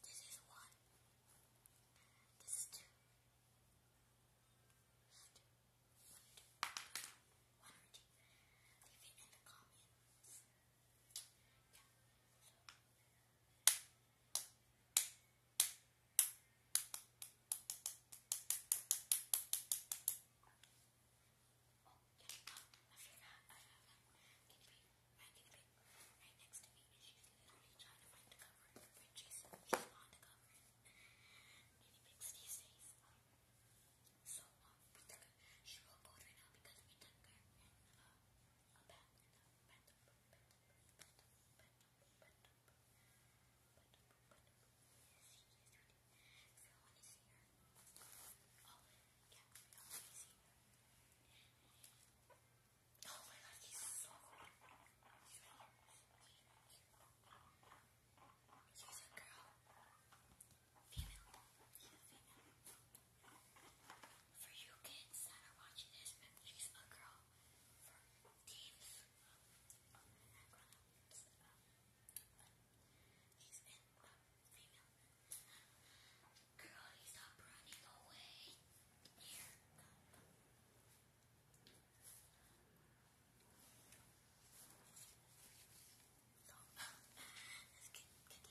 This is one. This is two. This Leave it in the comments. Yeah. So right next to me, and she's literally trying to find the cover, but she's, she's on the cover. Guinea pigs these days. Um, so, um, we took her, she will go right now because we took her in uh, a bath, in the bathroom, bathroom, bathroom, bathroom, bathroom, bathroom, bathroom, bathroom. Yes, she is ready. If you want to see her, all of Oh my god, he's so cool. He's a girl. Female. She's a female. For you kids that are watching this, she's a girl. female. Girlie, stop running away. Here, let's continue at it?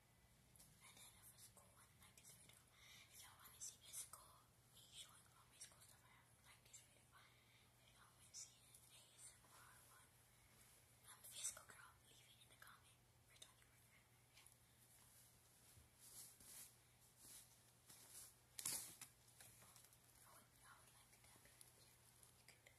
And then I was school and like this video. If y'all wanna see this school, me showing all my school stuff, I have like this video. If y'all wanna see an ASMR one, I'm a physical girl. Leave it in the comment. We're talking about that. I would, I would like to tap in. You can, you can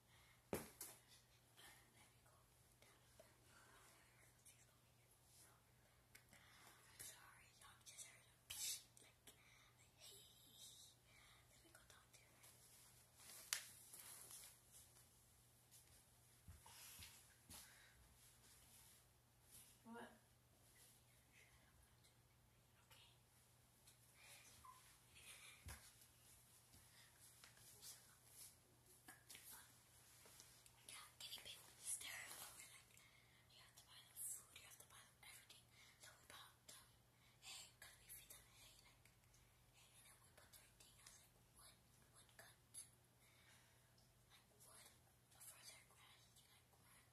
I'm sorry, y'all just heard a pee. Like, like, hey, let me go talk to her. What? Okay. Yeah, getting paid with this terrible. We're like, you have to buy them food, you have to buy them everything. So we bought them. Hey, can we feed them? Hey, like, hey, and then we put their thing. I was like, what? What cut? Like, what? For their grass, like, what?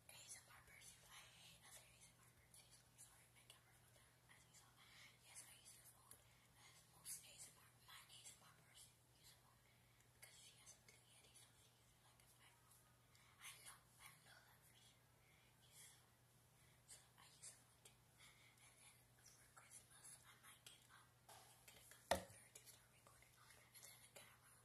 ASMR person, but I hate other ASMR persons. I'm sorry, my camera fell down as you saw. Yes, I use the phone as most ASMR. My ASMR person uses a phone because she has a blue yeti, so she uses like an iPhone. I know, I know that for sure. Uses a phone. So I use a phone too. And then for Christmas, I might get, um, get a computer to start recording on, and then a camera.